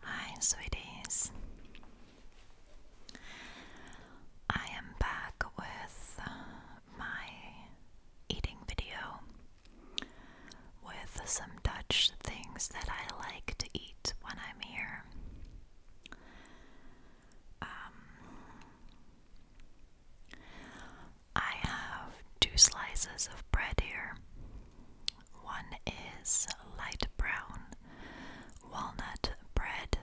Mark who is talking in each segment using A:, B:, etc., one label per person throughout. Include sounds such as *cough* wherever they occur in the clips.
A: Hi, sweeties. I am back with uh, my eating video with some Dutch things that I like to eat when I'm here. Um, I have two slices of bread here. One is light brown walnut bread,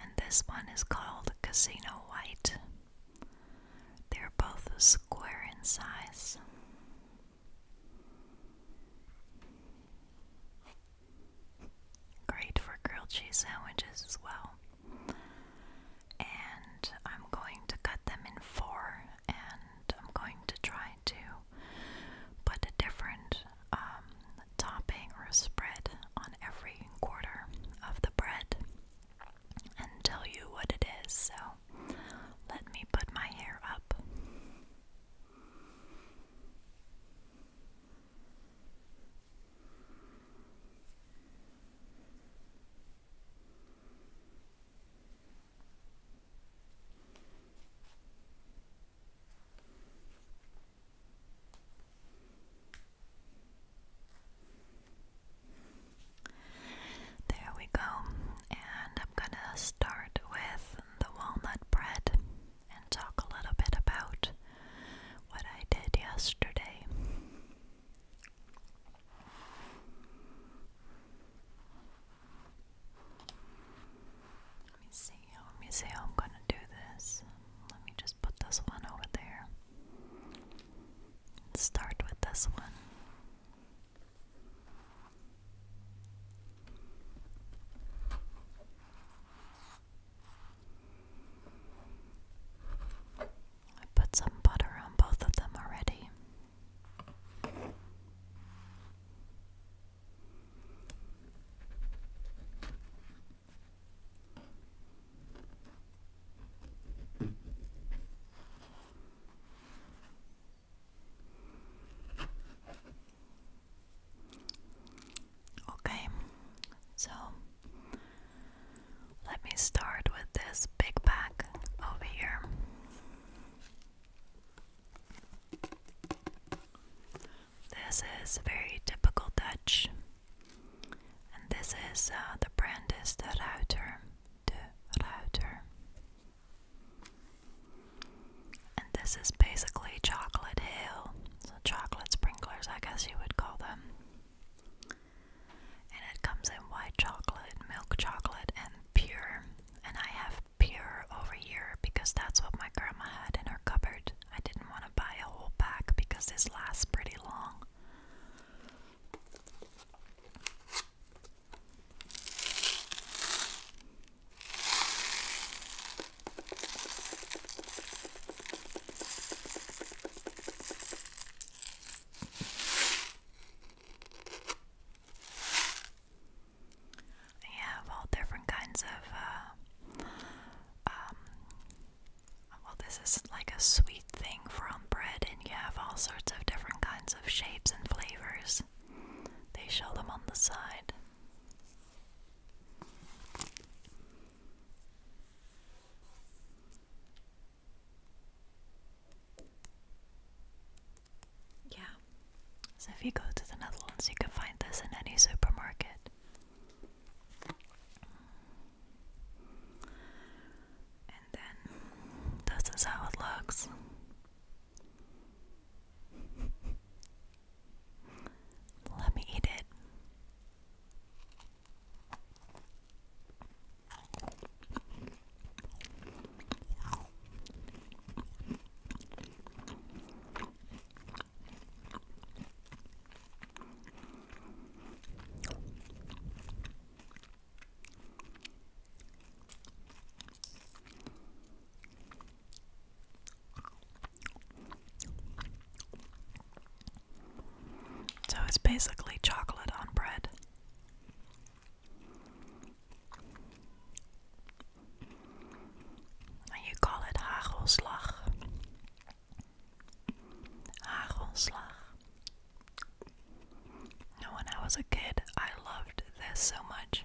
A: and this one is called Casino White. They're both square in size. Great for grilled cheese sandwiches as well. And I'm going to cut them in four and I'm going to try to put a different um, topping or spread on every quarter of the bread and tell you what it is. So let me put my hair up. There we go, and I'm gonna start with the walnut bread and talk a little bit about what I did yesterday. Let me see, how I'm going to do this. Let me just put this one over there. start with this one. I put some butter on both of them already. Okay, so let me start with this big bag over here. This is very typical Dutch, and this is uh, the brand is the Ruiter. De Ruiter. And this is basically Chocolate Hill. So, chocolate sprinklers, I guess you would call them. And it comes in white chocolate, milk chocolate, and pure. And I have pure over here because that's what my grandma had in her cupboard. I didn't want to buy a whole pack because this lasts pretty long. I have all different kinds of, uh, um, well, this is like a sweet thing from bread, and you have all sorts of different kinds of shapes and flavors. They show them on the side. Yeah. So if you go to the Netherlands, you can find this in any supermarket. And then this is how it looks. Let me eat it. So it's basically chocolate on bread. And you call it hagelslag. Hagelslag. Now, when I was a kid, I loved this so much.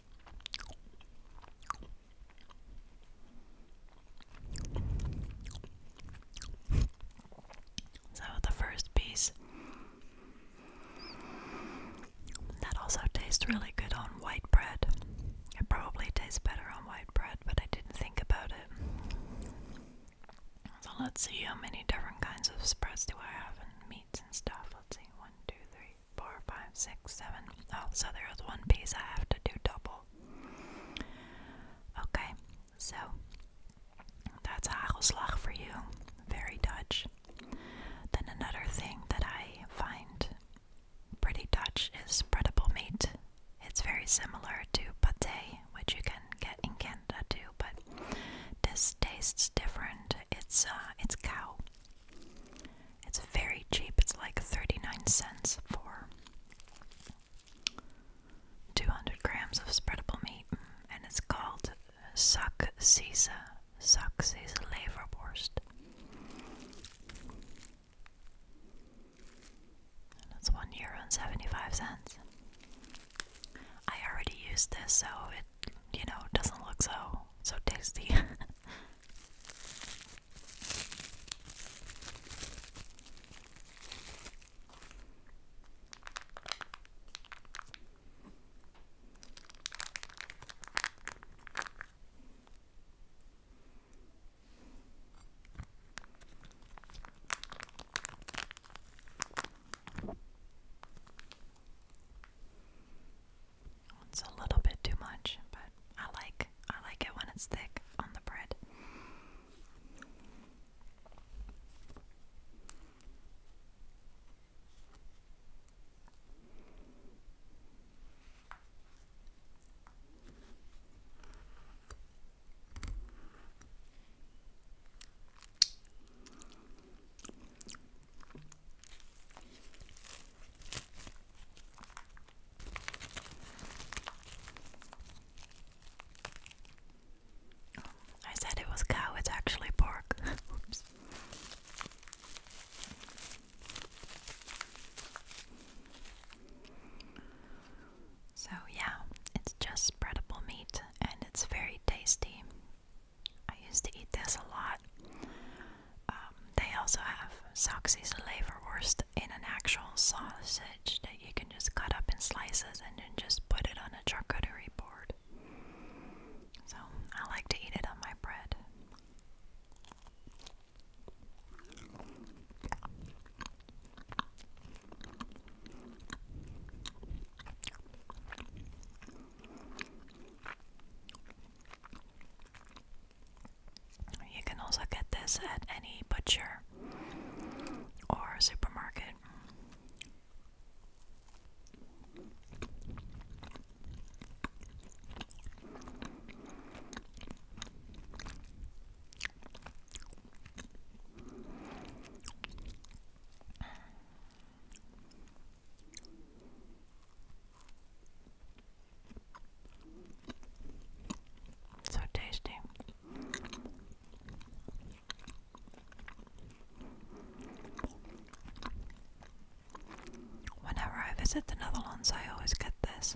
A: So, the first piece that also tastes really good on white bread. It probably tastes better on white bread, but I didn't think about it. So, let's see how many different kinds of spreads do I have and meats and stuff. Let's see one, two, three, four, five, six, seven. Oh, so there is one piece I have to do double. Okay, so that's hagelslag for you. Very Dutch. Then another thing that I find pretty Dutch is spreadable meat. It's very similar to pate, which you can get in Canada too, but this tastes different. It's uh, it's cow. It's very cheap. It's like 39 cents for 200 grams of spreadable meat, and it's called Sack Caesar, Sack Caesar Leverwurst. that's one euro and 75 cents. I already used this, so you know, doesn't look so so tasty. *laughs* It's a little bit too much, but I like I like it when it's thick on the bread. I said it was cow, it's actually pork. *laughs* So, yeah, it's just spreadable meat and it's very tasty. I used to eat this a lot. Um, they also have sausages, Soxy Leverwurst in an actual sausage that you can just cut up in slices and then just put it on a charcuterie board. So I like to eat it on my bread. You can also get this at any butcher or supermarket. So tasty. Whenever I visit the Netherlands, I always get this.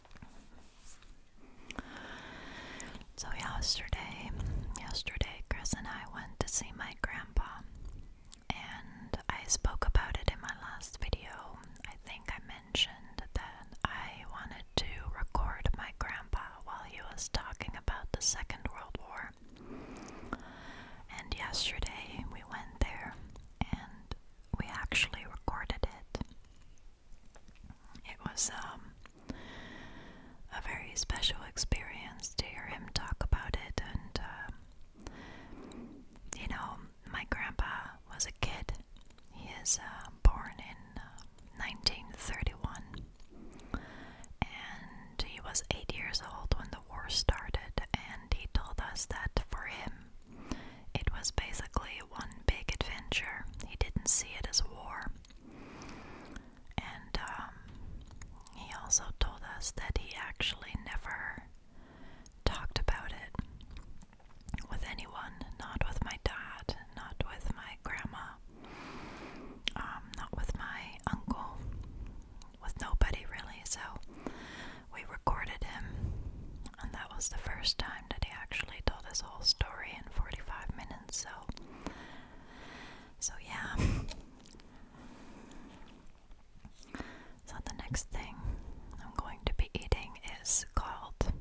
A: So yesterday, yesterday Chris and I went to see my grandpa and I spoke about it in my last video. I think I mentioned that I wanted to record my grandpa while he was talking about the Second World War. And yesterday we went there and we actually recorded it. It was um, a very special experience to hear him talk about it, and um, you know, my grandpa was a kid. He is uh, born in 1931, uh, and he was eight years old when the war started. And he told us that for him, it was basically one big adventure. He didn't see it as war. And um, he also told us that he actually never talked about it with anyone, not with my dad, not with my grandma, um, not with my uncle, with nobody really. So we recorded him and that was the first time that he actually told his whole story in 45 minutes, so. So, yeah. So, the next thing I'm going to be eating is called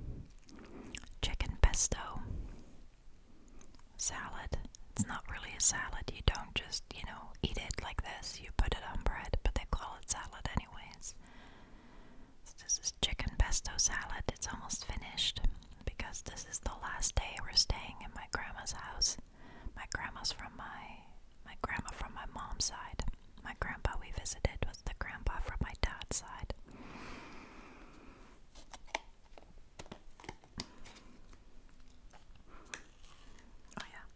A: chicken pesto salad. It's not really a salad, you don't just, you know, eat it like this, you put it on bread, but they call it salad, anyways. So this chicken pesto salad. It's almost finished because this is the last day we're staying in my grandma's house. My grandma's from my my grandma from my mom's side. My grandpa we visited was the grandpa from my dad's side. Oh yeah.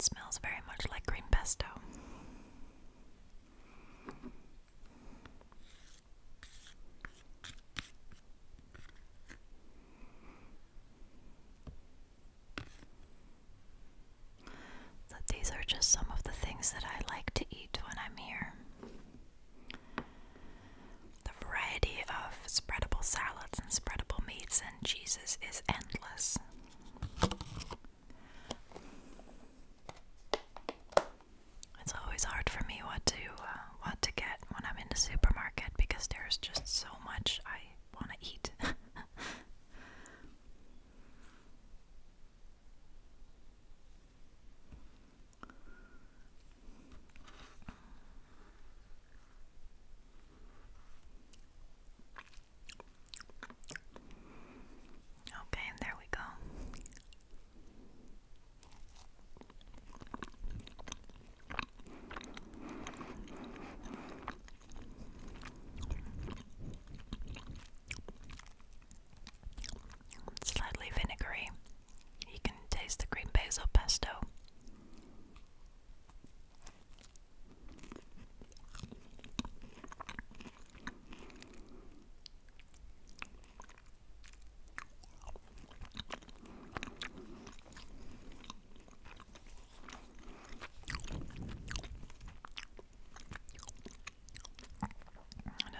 A: smells very much like green pesto. That these are just some of the things that I like to eat when I'm here. The variety of spreadable salads and spreadable meats and cheeses is endless. It's always hard for me what to uh, what to get when I'm in the supermarket because there's just so much I want to eat. *laughs* Okay, there we go. Slightly vinegary. You can taste the green basil pesto. It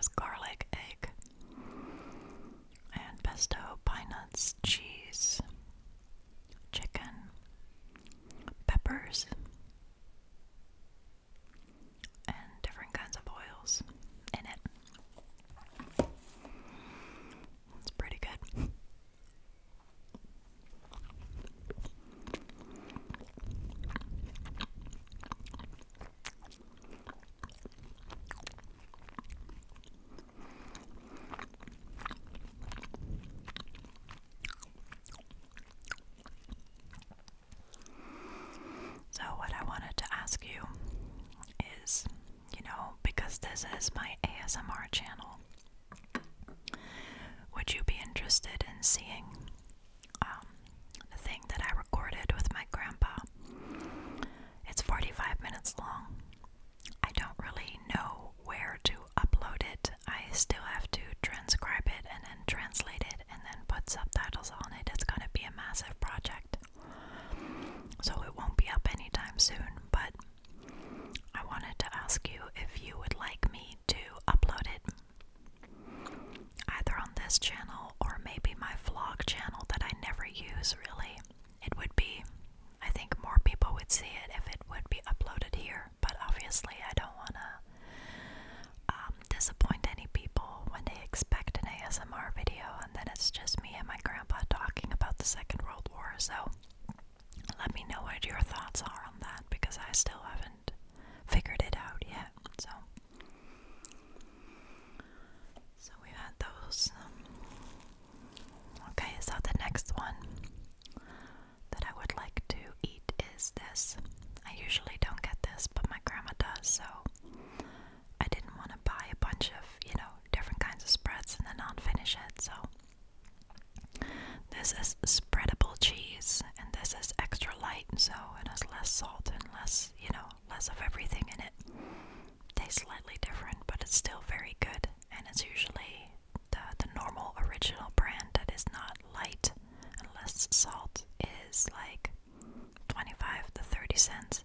A: is garlic, egg, and pesto, pine nuts, cheese, chicken, peppers, and different kinds of oils in it. It's pretty good. So, what I wanted to ask you is you know, because this is my ASMR channel, would you be interested in seeing um, the thing that I recorded with my grandpa? It's 45 minutes long. I don't really know where to upload it. I still have to transcribe it and then translate it and then put subtitles on it. It's going to be a massive project. So it won't be up anytime soon, but I wanted to ask you if you would like me to upload it either on this channel or maybe my vlog channel that I never use really. It would be, I think more people would see it if it would be uploaded here, but obviously I don't want to um, disappoint any people when they expect an ASMR video and then it's just me and my grandpa talking about the Second World War. So let me know what your thoughts are on that because I still haven't figured it out yet. So, so we've had those. Um, okay, so the next one that I would like to eat is this. I usually don't get this, but my grandma does, so I didn't want to buy a bunch of, you know, different kinds of spreads and then not finish it. So this is spreadable cheese and this is extra light, so it has less salt and less, you know, less of everything in it. Tastes slightly different, but it's still very good and it's usually the the normal original brand that is not light and less salt is like 25 to 30 cents.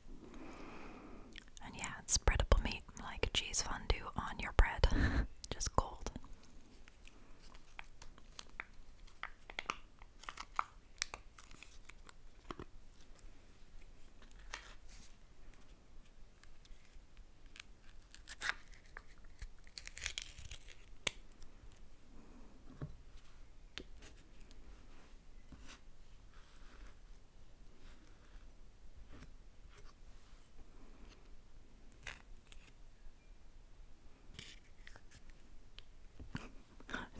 A: And yeah, it's spreadable meat like cheese fondue on your bread, *laughs* just cold.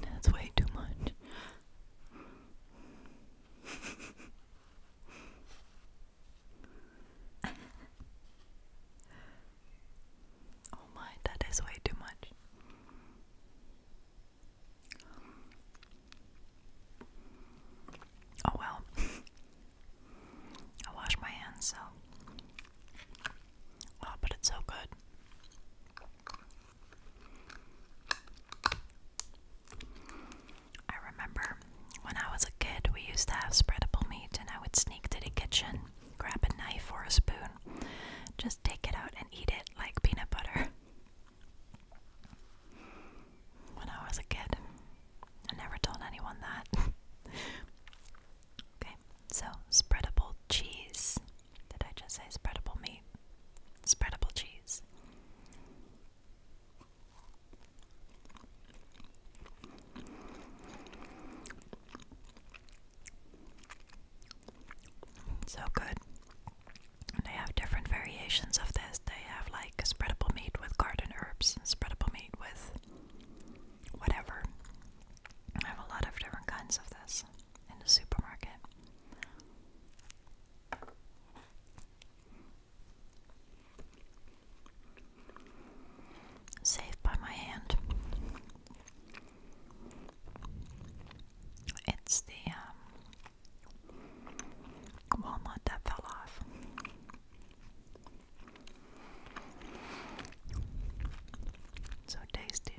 A: That's way too much. *laughs* Oh my, that is way too much. Oh well. *laughs* I wash my hands so. Oh, but it's so good. I remember when I was a kid, we used to have spreadable meat, and I would sneak to the kitchen, grab a knife or a spoon, just take it out and eat it like peanut butter. When I was a kid, I never told anyone that. *laughs* okay, so spreadable cheese. Did I just say spreadable meat? Spreadable cheese. So good. they have different variations of this. They have like spreadable meat with garden herbs, spreadable meat with whatever. I have a lot of different kinds of this in the supermarket. Saved by my hand. It's the um, walnut that fell off. So tasty.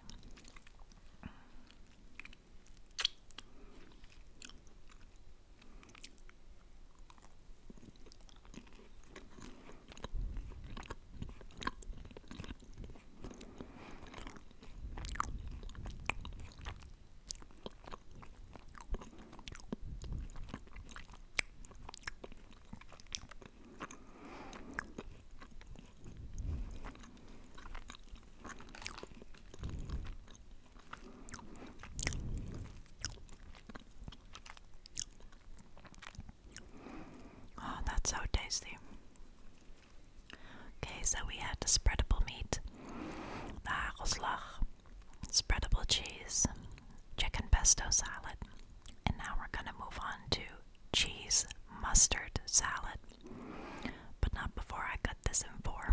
A: Oh, that's so tasty. Okay, so we had the spreadable meat, the hagelslag, spreadable cheese, chicken pesto salad, and now we're gonna move on to cheese mustard salad. But not before I cut this in four.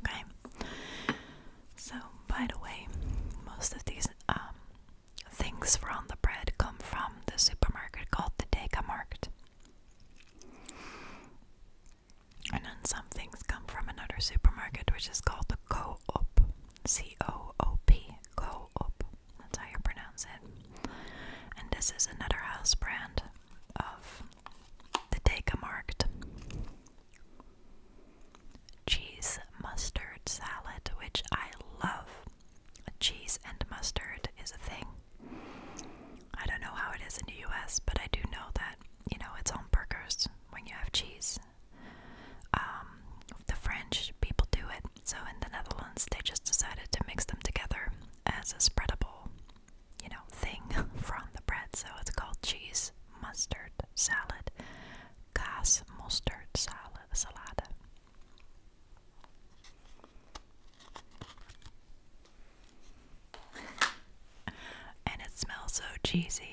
A: Okay. So, by the way, most of these um, things from the bread come from the supermarket called the Deka Market, And then some things come from another supermarket which is called the Co-op. C-O-O-P. Co-op. That's how you pronounce it. And this is another house brand of the Dekamarkt. Cheese mustard salad, which I love. Cheese and mustard is a thing. I don't know how it is in the US, but I do know that, you know, it's on burgers when you have cheese. Um, the French people do it, so in the Netherlands they just decided to mix them together as a spreadable you know, thing *laughs* from the bread. So it's called cheese mustard salad, gas mustard salad. salad. and it smells so cheesy.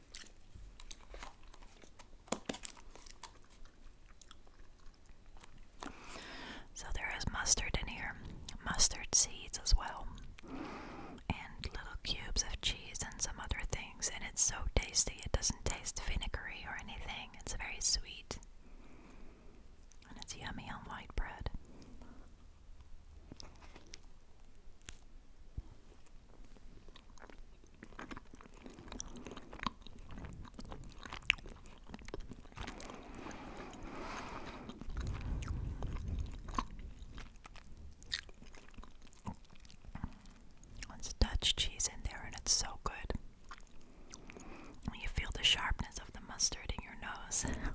A: So there is mustard in here, mustard seeds as well, and little cubes of cheese and some other things. And it's so tasty, it doesn't taste vinegary or anything, it's very sweet. And it's yummy on white bread. It's Dutch cheese in there, and it's so good. You feel the sharpness of the mustard in your nose. *laughs*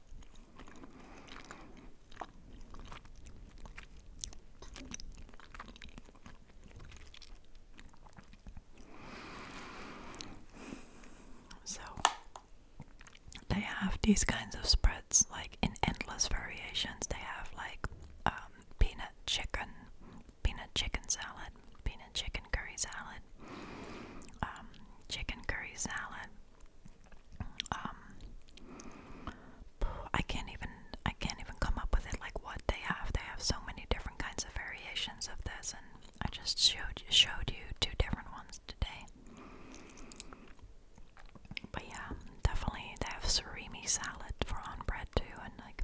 A: So they have these kinds of spreads like in endless variations. They have like um, peanut chicken, peanut chicken salad, peanut chicken curry salad, um, chicken curry salad, um I can't even I can't even come up with it like what they have. They have so many different kinds of variations of this and I just showed showed you two different ones today. But yeah, definitely they have surimi salad for on bread too and like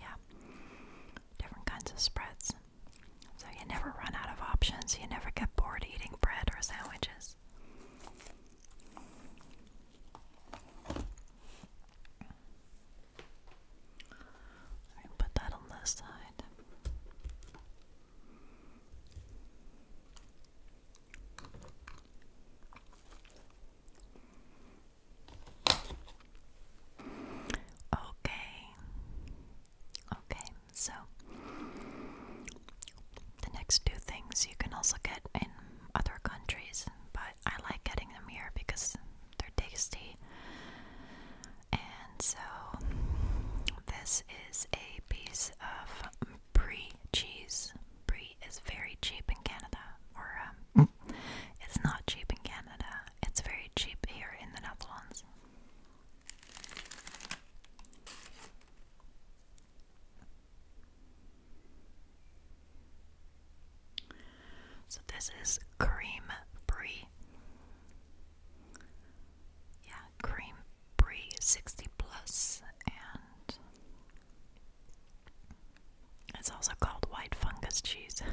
A: yeah. Different kinds of spreads. So you never run out of options, you never get bored eating bread or sandwiches. I put that on this side. Okay. Okay. So, the next two things you can also get in other countries, but I like getting them here because they're tasty. And so, this is a piece of brie cheese. Brie is very cheap in Canada, or um, mm. it's not cheap in Canada, it's very cheap here in the Netherlands. So this is cream brie. Yeah, cream brie 60 plus and it's also called white fungus cheese. *laughs*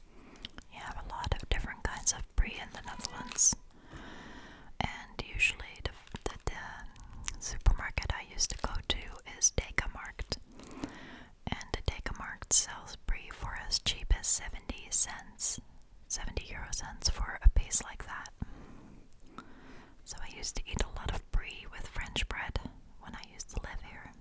A: You have a lot of different kinds of brie in the Netherlands, and usually the, the, supermarket I used to go to is Deca Markt, and Deca Markt sells brie for as cheap as seventy cents, seventy euro cents for a piece like that. So I used to eat a lot of brie with French bread when I used to live here.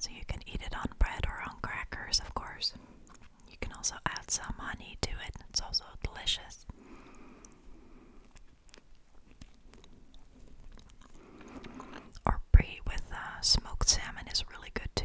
A: So you can eat it on bread or on crackers, of course. You can also add some honey to it. It's also delicious. Or brie with uh, smoked salmon is really good too.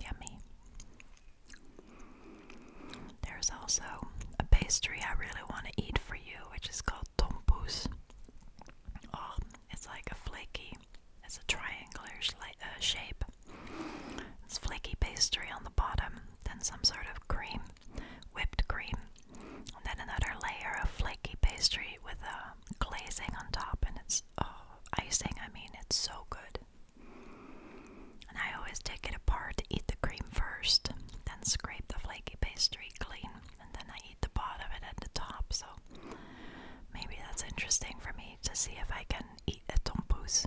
A: Yummy. There's also a pastry I really want to eat for you, which is called tompous. Oh, it's like a flaky, it's a triangular uh, shape. It's flaky pastry on the bottom, then some sort of cream, whipped cream, and then another layer of flaky pastry with a glazing on top, and it's oh, icing. I mean, it's so good. And I always take it apart, to eat the cream first, then scrape the flaky pastry clean, and then I eat the bottom and the top. So maybe that's interesting for me to see if I can eat a tompous.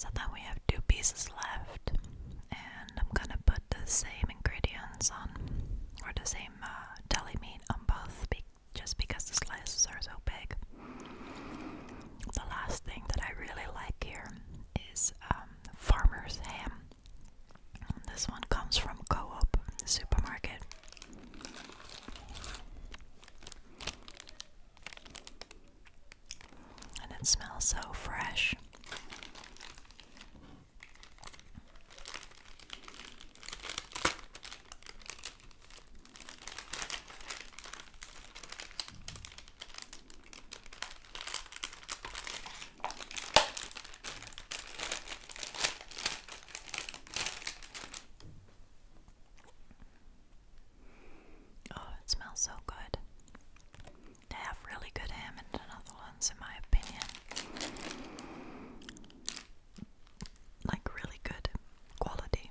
A: So then we have two pieces left, I'm gonna put the same ingredients on, or the same uh, deli meat on both, just because the slices are so big. The last thing that I really like here is um, farmer's ham. This one comes from Co-op supermarket. And it smells so fresh. Oh, it smells so good. They have really good Hammond and other ones, in my opinion. Like, really good quality.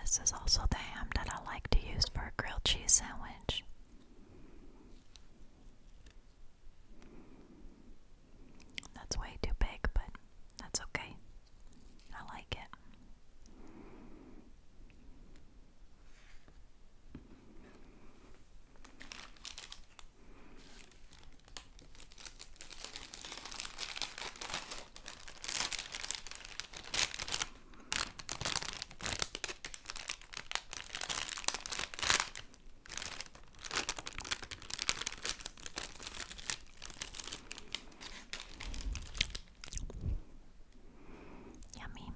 A: This is also the ham that I like to use for a grilled cheese sandwich. That's way too big, but that's okay. I like it. Yummy.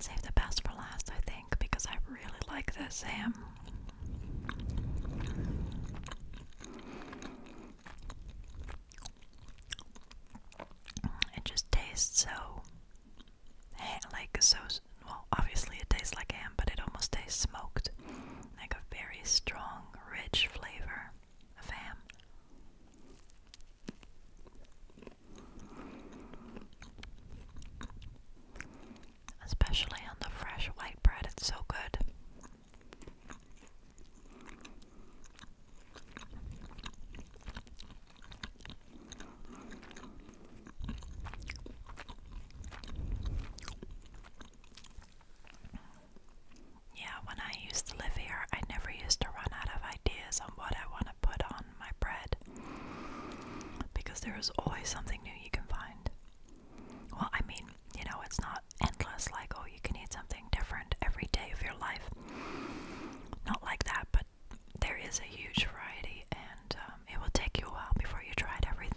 A: Save the best for last, I think, because I really like this Sam. It just tastes so, like so. Well, obviously it tastes like ham, but it almost tastes smoked, like a very strong, rich flavor of ham. Especially on the fresh white bread, it's so good. Yeah, when I used to live here, I never used to run out of ideas on what I want to put on my bread because there is always something new you can find. Well, I mean, you know, it's not endless like, oh, you can eat something different every day of your life not like that, but there is a huge variety, and um, it will take you a while before you tried everything.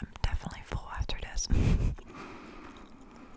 A: I'm definitely full after this. *laughs*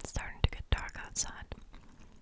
A: It's starting to get dark outside.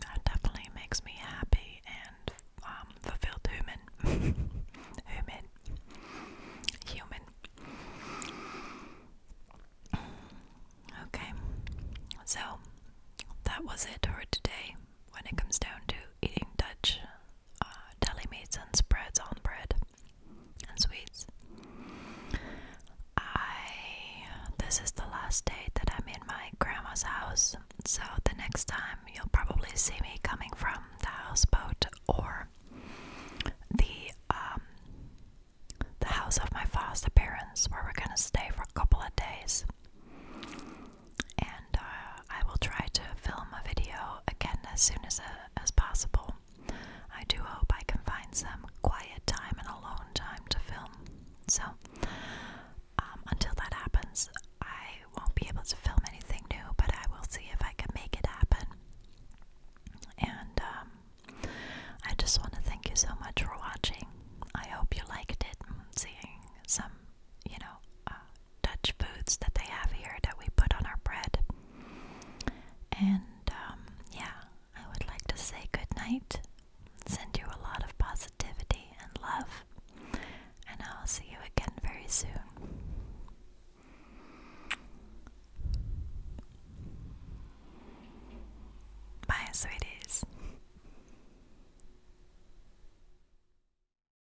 A: That definitely makes me happy and um, fulfilled human. *laughs* human. Human. Okay, so that was it for today when it comes down to eating Dutch uh, deli meats and spreads on bread and sweets. I this is the last day that I'm in my grandma's house, so the next time you'll probably see me coming from the houseboat or the um the house of my father's parents where we're gonna stay for a couple of days and uh, I will try to film a video again as soon as uh, as possible. I do hope I can find some quiet time and alone time to film. So um, until that happens, I won't be able to film anything new, but I will see if I can make it happen. And um, I just want to thank you so much for watching. I hope you liked it, seeing some, you know, uh, Dutch foods that they have here that we put on our bread. And um, yeah, I would like to say good night, send you a lot of positivity and love, and I'll see you again very soon. Bye, sweeties.